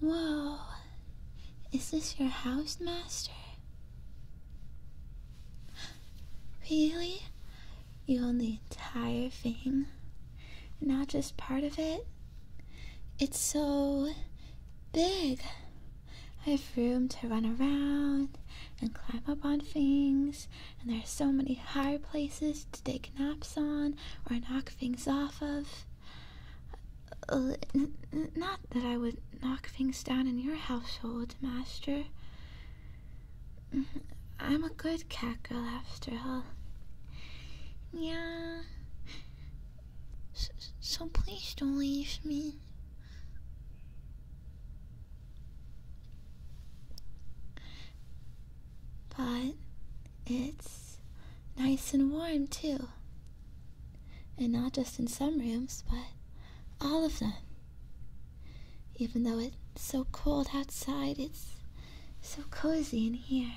Whoa, is this your house, Master? Really? You own the entire thing? Not just part of it? It's so big. I have room to run around and climb up on things, and there are so many high places to take naps on or knock things off of. Uh, not that I would knock things down in your household, Master. Mm-hmm. I'm a good cat girl after all. Yeah. So, please don't leave me. But it's nice and warm too. And not just in some rooms, but all of them. Even though it's so cold outside, it's so cozy in here.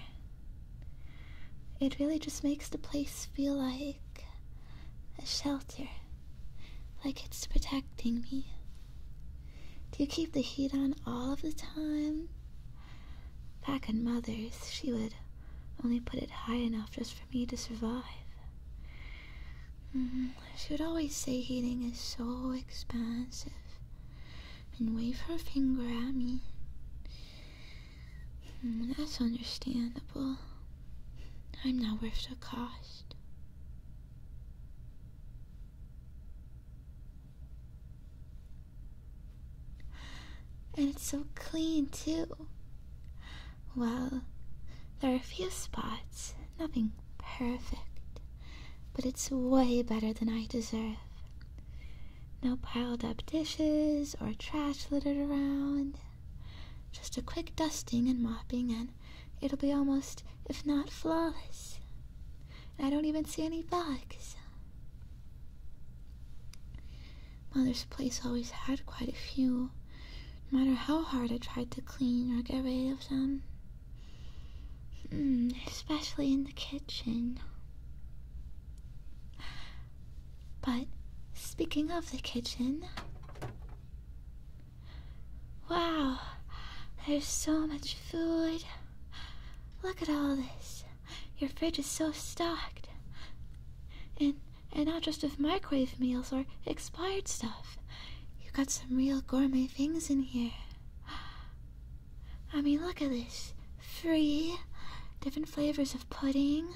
It really just makes the place feel like a shelter, like it's protecting me. Do you keep the heat on all of the time? Back in Mother's, she would only put it high enough just for me to survive. Mm-hmm. She would always say heating is so expensive, and wave her finger at me. Mm, that's understandable. I'm not worth the cost. And it's so clean, too. Well, there are a few spots, nothing perfect, but it's way better than I deserve. No piled up dishes or trash littered around. Just a quick dusting and mopping, and it'll be almost, if not flawless. I don't even see any bugs. Mother's place always had quite a few, no matter how hard I tried to clean or get rid of them. Hmm, especially in the kitchen. But speaking of the kitchen, wow, there's so much food. Look at all this. Your fridge is so stocked. And and not just with microwave meals or expired stuff. You got some real gourmet things in here. I mean, look at this. Three different flavors of pudding,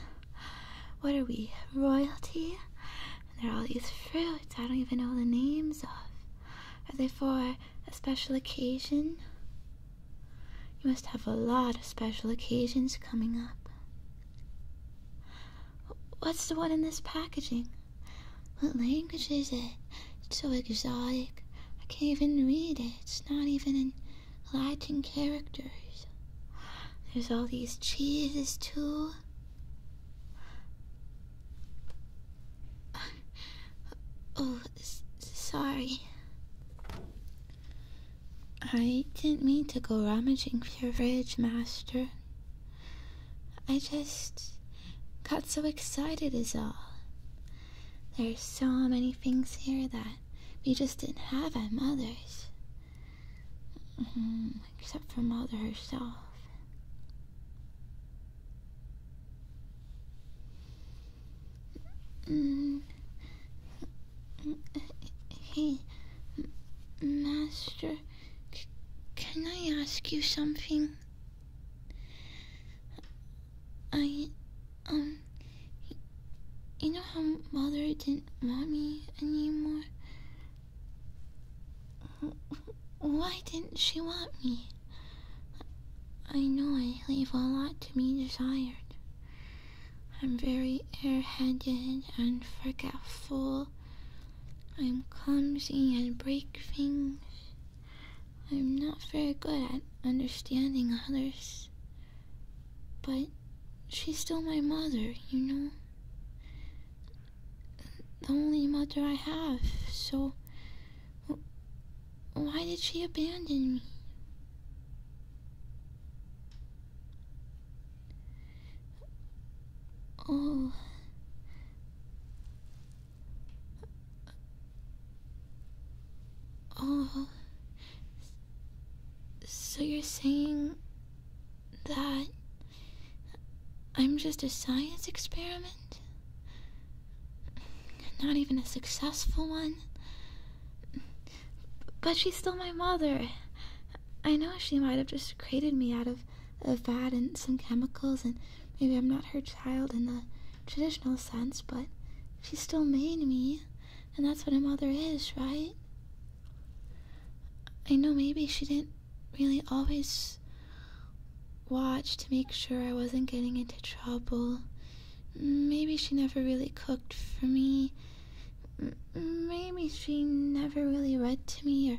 what are we? Royalty? And there are all these fruits I don't even know the names of. Are they for a special occasion? You must have a lot of special occasions coming up. What's the one in this packaging? What language is it? It's so exotic. I can't even read it. It's not even in Latin characters. There's all these cheeses too. Oh, sorry. I didn't mean to go rummaging through your fridge, Master. I just got so excited, is all. There's so many things here that we just didn't have our mothers. Mm-hmm. except for Mother herself. Mm-hmm. Hey, Master, can I ask you something? I, um, you know how mother didn't want me anymore? Why didn't she want me? I know I leave a lot to be desired. I'm very airheaded and forgetful. I'm clumsy and break things. I'm not very good at understanding others. But she's still my mother, you know? The only mother I have, so. Why did she abandon me? Oh. Oh. So you're saying that I'm just a science experiment? Not even a successful one? But she's still my mother. I know she might have just created me out of a vat and some chemicals, and maybe I'm not her child in the traditional sense, but she still made me. And that's what a mother is, right? I know maybe she didn't really always watch to make sure I wasn't getting into trouble. Maybe she never really cooked for me. Maybe she never really read to me or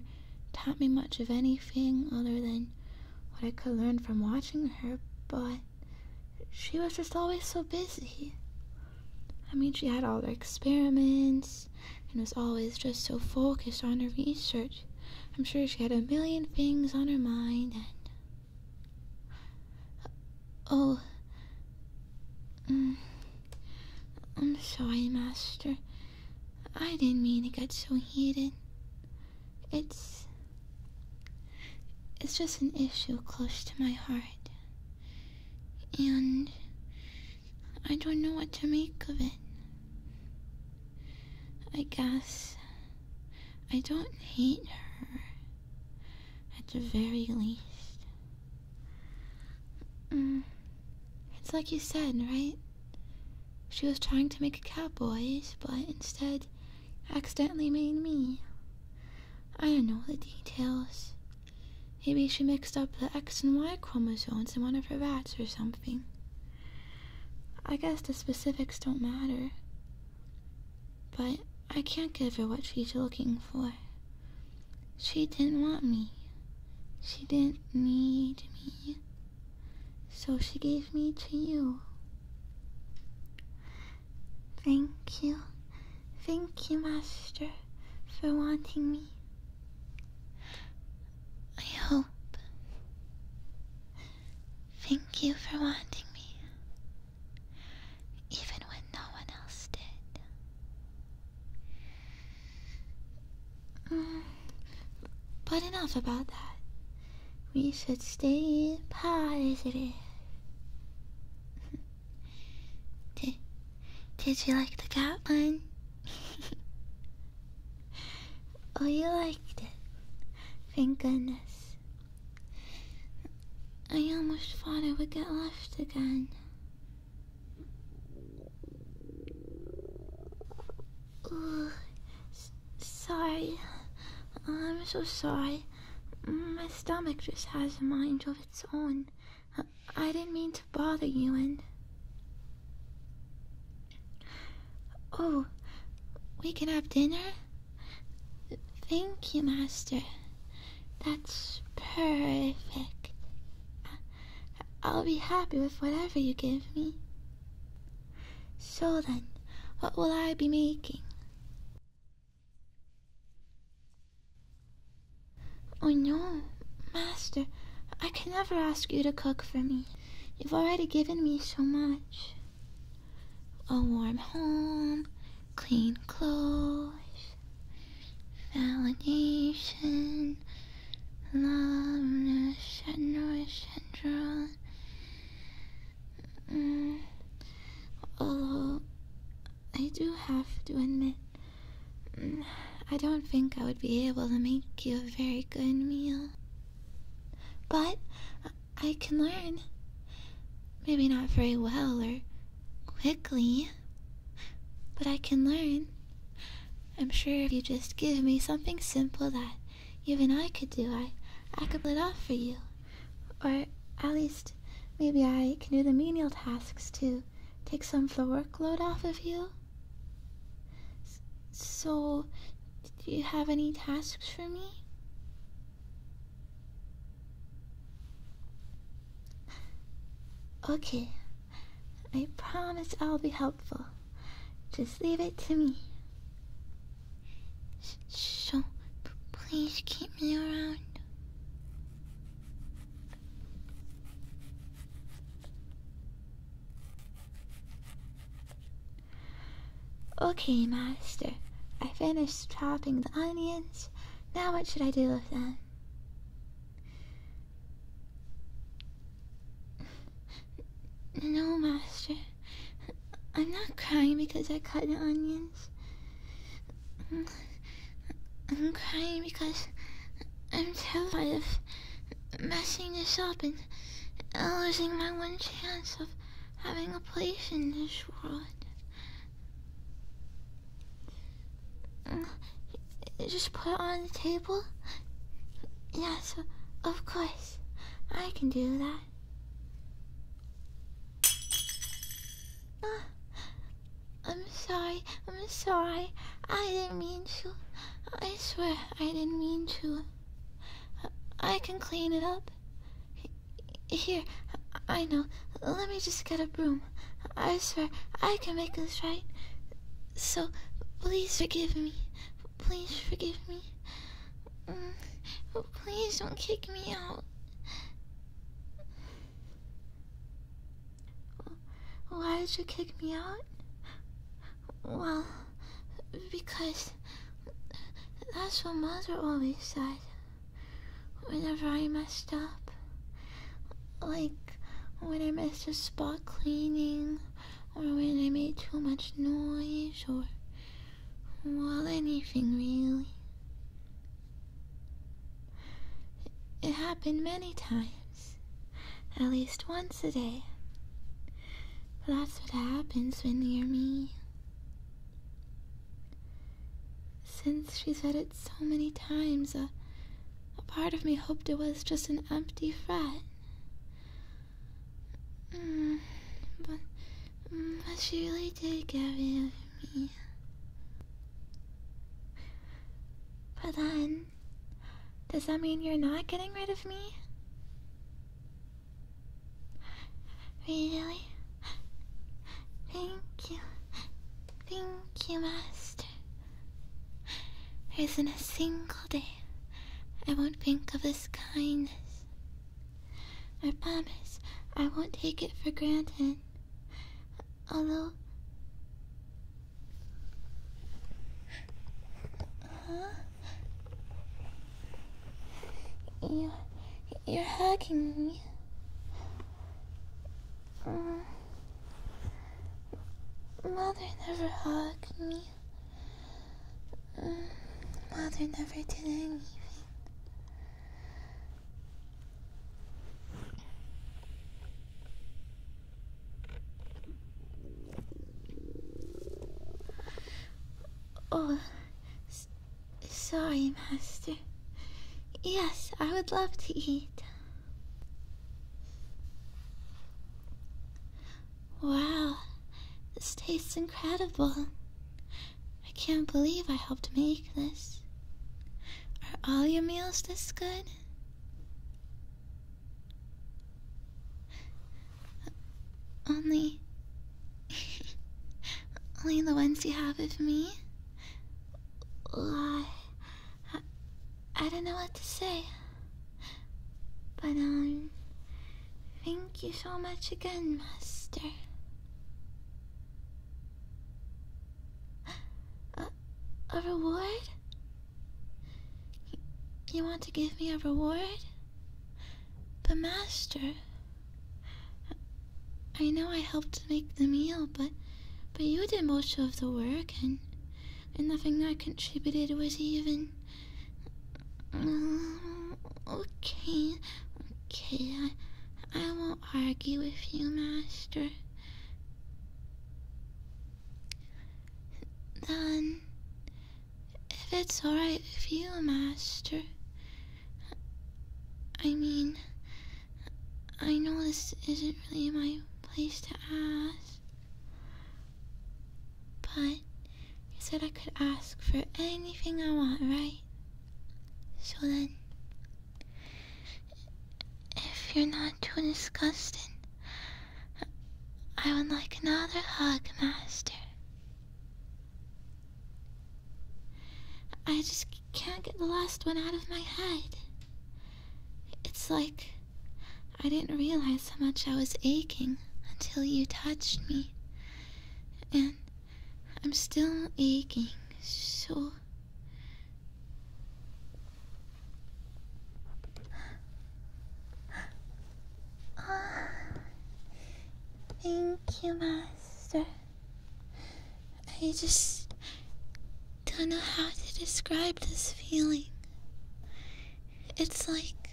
taught me much of anything other than what I could learn from watching her, but she was just always so busy. I mean, she had all her experiments and was always just so focused on her research. I'm sure she had a million things on her mind and. Oh. Mm, I'm sorry, Master. I didn't mean to get so heated. It's. It's just an issue close to my heart. And. I don't know what to make of it. I guess. I don't hate her. At the very least. Mm. It's like you said, right? She was trying to make a Cowboys, but instead accidentally made me. I don't know the details. Maybe she mixed up the X and Y chromosomes in one of her rats or something. I guess the specifics don't matter. But I can't give her what she's looking for. She didn't want me. She didn't need me. So she gave me to you. Thank you. Thank you, Master, for wanting me. I hope. Thank you for wanting me, even when no one else did. Mm, but enough about that. We should stay positive. did, did you like the cat one? oh, you liked it. Thank goodness. I almost thought I would get left again sorry. I'm so sorry. My stomach just has a mind of its own. I didn't mean to bother you and. Oh, we can have dinner? Thank you, Master. That's perfect. I'll be happy with whatever you give me. So then, what will I be making? Oh no, Master, I can never ask you to cook for me. You've already given me so much. A warm home, clean clothes, validation, love, and nurture, Mm, I do have to admit, mm, I don't think I would be able to make you a very good meal. But I can learn. Maybe not very well or quickly, but I can learn. I'm sure if you just give me something simple that even I could do. I, I could pull off for you. Or at least, maybe I can do the menial tasks to take some of the workload off of you. so, do you have any tasks for me? Okay, I promise I'll be helpful. Just leave it to me. So, please keep me around. Okay, Master. I finished chopping the onions. Now what should I do with them? No, Master. I'm not crying because I cut the onions. I'm crying because I'm terrified of messing this up and losing my one chance of having a place in this world. Just put it on the table? Yes, of course. I can do that. Uh, I'm sorry, I'm sorry. I didn't mean to. I swear I didn't mean to. I can clean it up. Here, I know. Let me just get a broom. I swear I can make this right. So, please forgive me. Please forgive me. Mm, please don't kick me out. Why did you kick me out? Well, because that's what mother always said. Whenever I messed up. Like when I missed a spot cleaning, or when I made too much noise, or well, anything really. It happened many times, at least once a day. that's what happens when you're me. Since she said it so many times, a, a part of me hoped it was just an empty threat. Mm, but, mm, but she really did get rid of me. But then, does that mean you're not getting rid of me? Really? Thank you. Thank you, Master. There isn't a single day I won't think of this kindness. I promise I won't take it for granted. Although. Huh? You, you're hugging me. Uh, mother never hugged me. Mother uh, never did anything. Oh, sorry, Master. Yes, I would love to eat. Wow, this tastes incredible. I can't believe I helped make this. Are all your meals this good? Only. only the ones you have with me? I, I don't know what to say. But, um, thank you so much again, Master. A, a reward? You, you want to give me a reward? But, Master, I know I helped make the meal, but, but you did most of the work, and, and nothing I contributed was even Mm, okay, okay, I, I won't argue with you, Master. Then, if it's alright with you, Master, I mean, I know this isn't really my place to ask. But you said I could ask for anything I want, right? So then, if you're not too disgusted, I would like another hug, Master. I just can't get the last one out of my head. It's like I didn't realize how much I was aching until you touched me. And I'm still aching, so. thank you, Master. I just don't know how to describe this feeling. It's like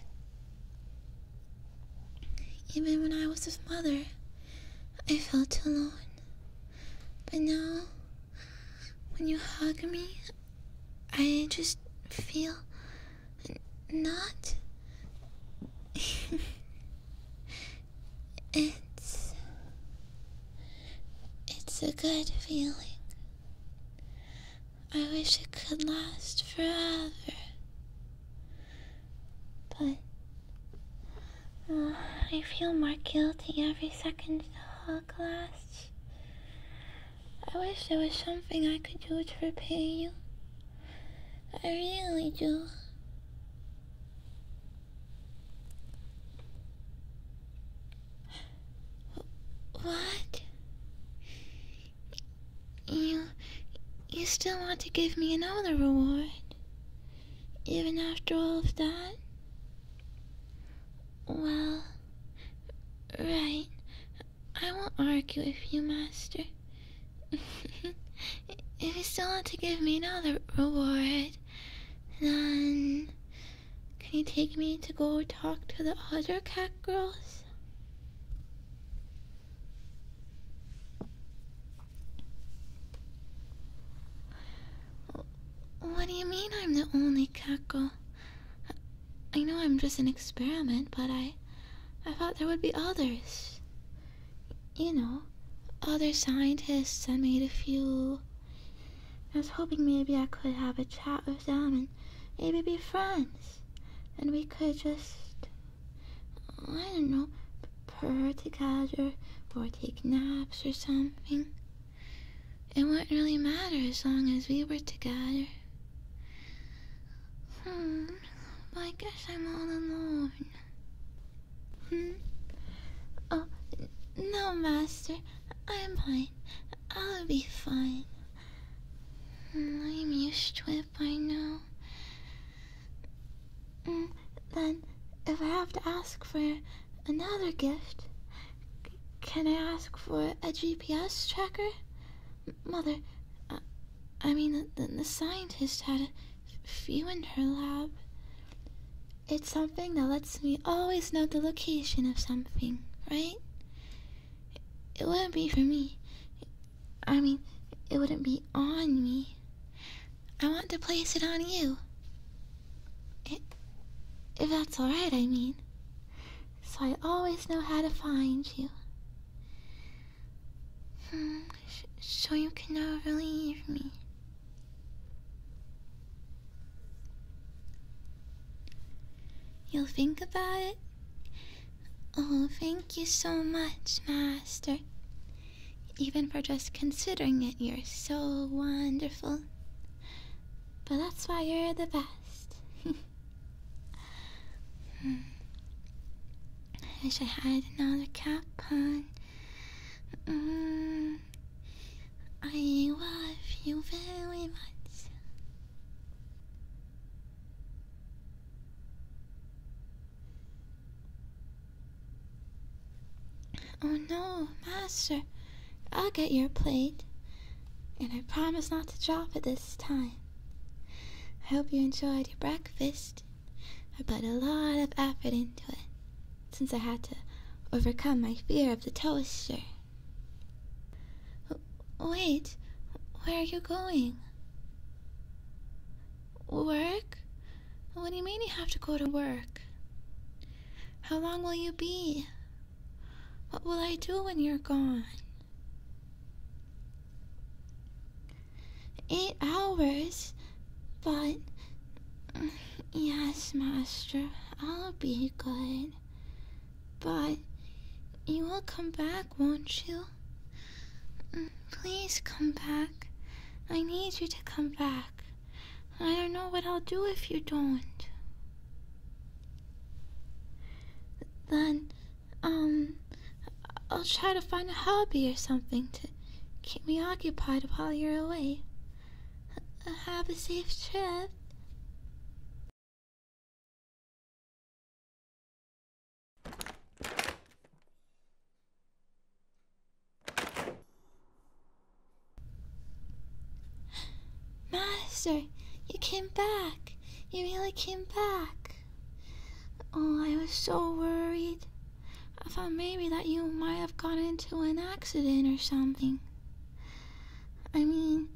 even when I was with mother, I felt alone. But now, when you hug me, I just feel not. it's. It's a good feeling. I wish it could last forever. But uh, I feel more guilty every second the hug lasts. I wish there was something I could do to repay you. I really do. What? You, you still want to give me another reward, even after all of that? Well, right. I won't argue with you, Master. if you still want to give me another reward, then can you take me to go talk to the other cat girls? What do you mean I'm the only Kako? I know I'm just an experiment, but I I thought there would be others. You know, other scientists. I made a few. I was hoping maybe I could have a chat for and maybe be friends. And we could just, I don't know, purr together or take naps or something. It wouldn't really matter as long as we were together. Hmm, but I I'm all alone. Hmm? Oh, no, Master. I'm fine. I'll be fine. I'm used to it I know. Mm, then, if I have to ask for another gift, can I ask for a GPS tracker? Mother, uh, I mean, the, scientist had a few in her lab. It's something that lets me always know the location of something, right? It wouldn't be for me. I mean, it wouldn't be on me. I want to place it on you. if that's alright, I mean. So I always know how to find you. Hmm, so you can never leave me. You'll think about it? Oh, thank you so much, Master. Even for just considering it, you're so wonderful. But that's why you're the best. I wish I had another cap on. Mm-hmm. I love you very much. Oh no, master, I'll get your plate. And I promise not to drop it this time. I hope you enjoyed your breakfast. I put a lot of effort into it, since I had to overcome my fear of the toaster. Wait, where are you going? Work? What do you mean you have to go to work? How long will you be? What will I do when you're gone? Eight hours? But. Yes, Master, I'll be good. But you will come back, won't you? Mm, please come back. I need you to come back. I don't know what I'll do if you don't. Then, um, I'll try to find a hobby or something to keep me occupied while you're away. Have a safe trip. Master, you came back. You really came back. Oh, I was so worried. I thought maybe that you might have gotten into an accident or something. I mean,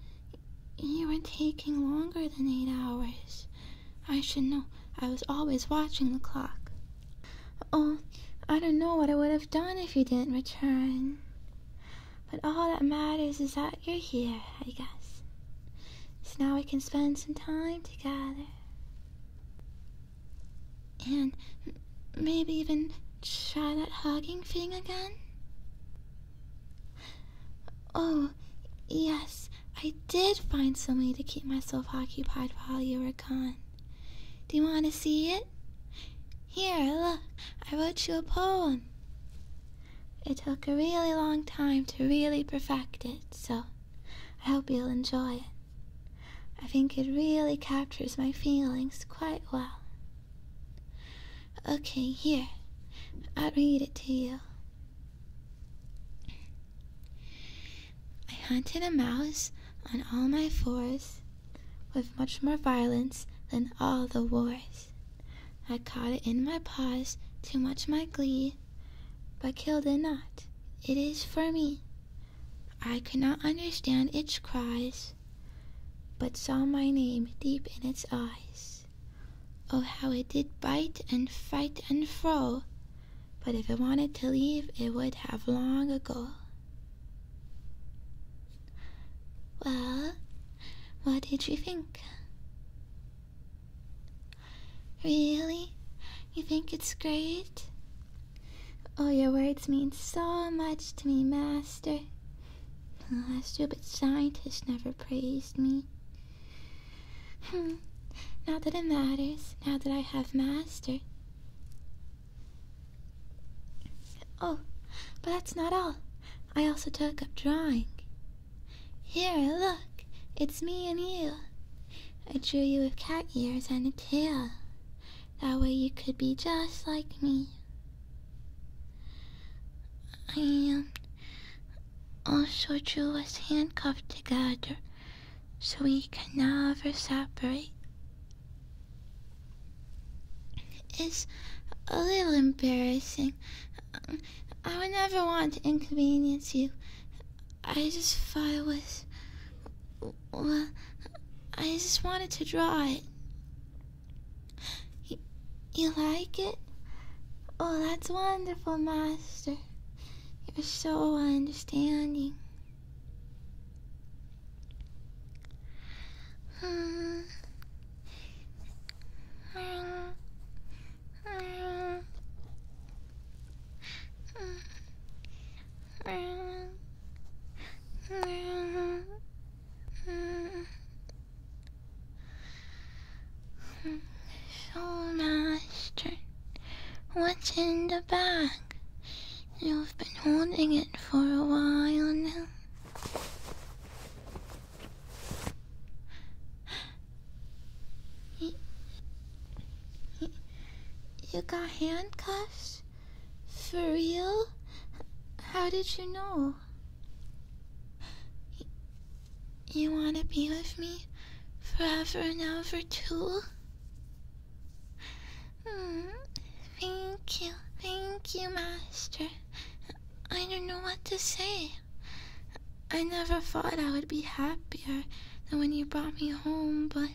you were taking longer than eight hours. I should know. I was always watching the clock. Oh, I don't know what I would have done if you didn't return. But all that matters is that you're here, I guess. So now we can spend some time together. And maybe even try that hugging thing again? Oh, yes, I did find some way to keep myself occupied while you were gone. Do you want to see it? Here, look, I wrote you a poem. It took a really long time to really perfect it, so I hope you'll enjoy it. I think it really captures my feelings quite well. Okay, here. i read it to you. I hunted a mouse on all my fours with much more violence than all the wars. I caught it in my paws, too much my glee, but killed it not. It is for me. I could not understand its cries but saw my name deep in its eyes. Oh, how it did bite and fight and fro! But if it wanted to leave, it would have long ago. Well, what did you think? Really? You think it's great? Oh, your words mean so much to me, Master. Ah, stupid scientist never praised me. Hmm. Not that it matters, now that I have mastered. Oh, but that's not all. I also took up drawing. Here, look, it's me and you. I drew you with cat ears and a tail. That way you could be just like me. I am. Also, Drew us handcuffed together, so we can never separate. It's a little embarrassing. I would never want to inconvenience you. I just thought it was well, I just wanted to draw it. You, you like it? Oh, that's wonderful, Master. You're so understanding. Hmm. So, Master, what's in the bag? You've been holding it for a while now. You got handcuffs? For real? How did you know? You wanna be with me forever and ever too? Hmm, thank you, thank you, Master. I don't know what to say. I never thought I would be happier than when you brought me home, but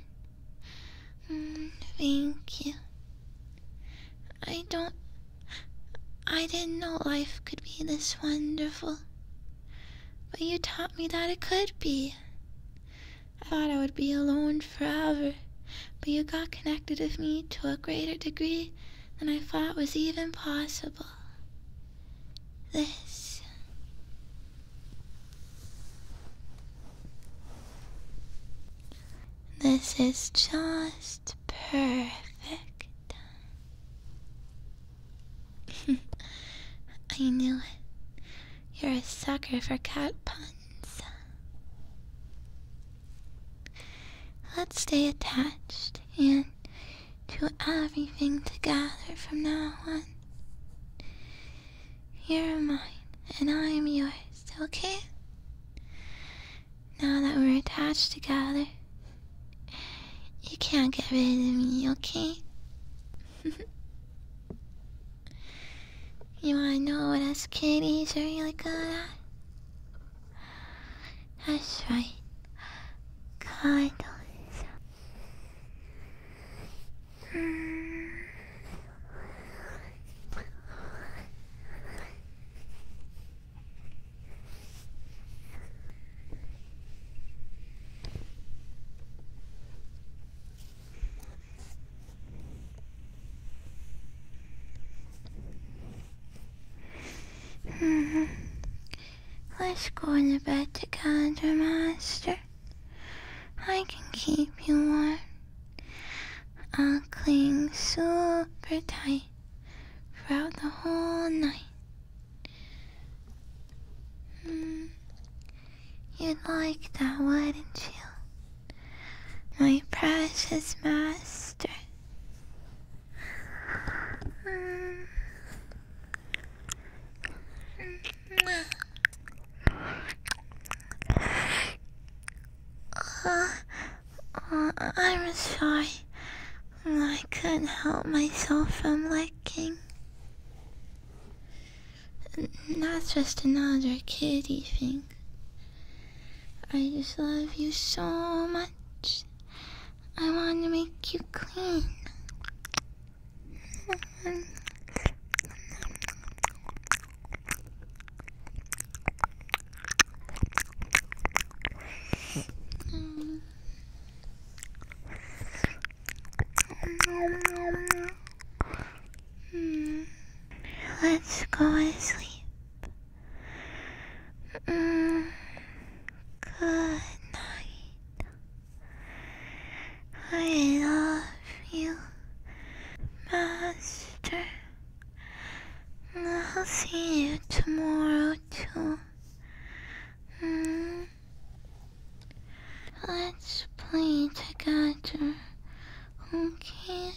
Mm, thank you. I don't. I didn't know life could be this wonderful. But you taught me that it could be. I thought I would be alone forever, but you got connected with me to a greater degree than I thought was even possible. This. This is just perfect. I knew it. You're a sucker for cat puns. Let's stay attached and do everything together from now on. You're mine, and I am yours, okay? Now that we're attached together, you can't get rid of me, okay? you wanna know what us kitties are really good at? That's right, cuddles. Mm-hmm. Let's go in the bed together, Master. I can keep you warm. I will cling super tight throughout the whole night. Mm, You'd like that, wouldn't you? My precious master. Mm. Uh, I'm sorry. I couldn't help myself from licking. That's just another kitty thing. I just love you so much. I want to make you clean. Mm. Let's go and sleep. Mm. Good night. I love you, Master. I'll see you tomorrow too. Let's play together, okay?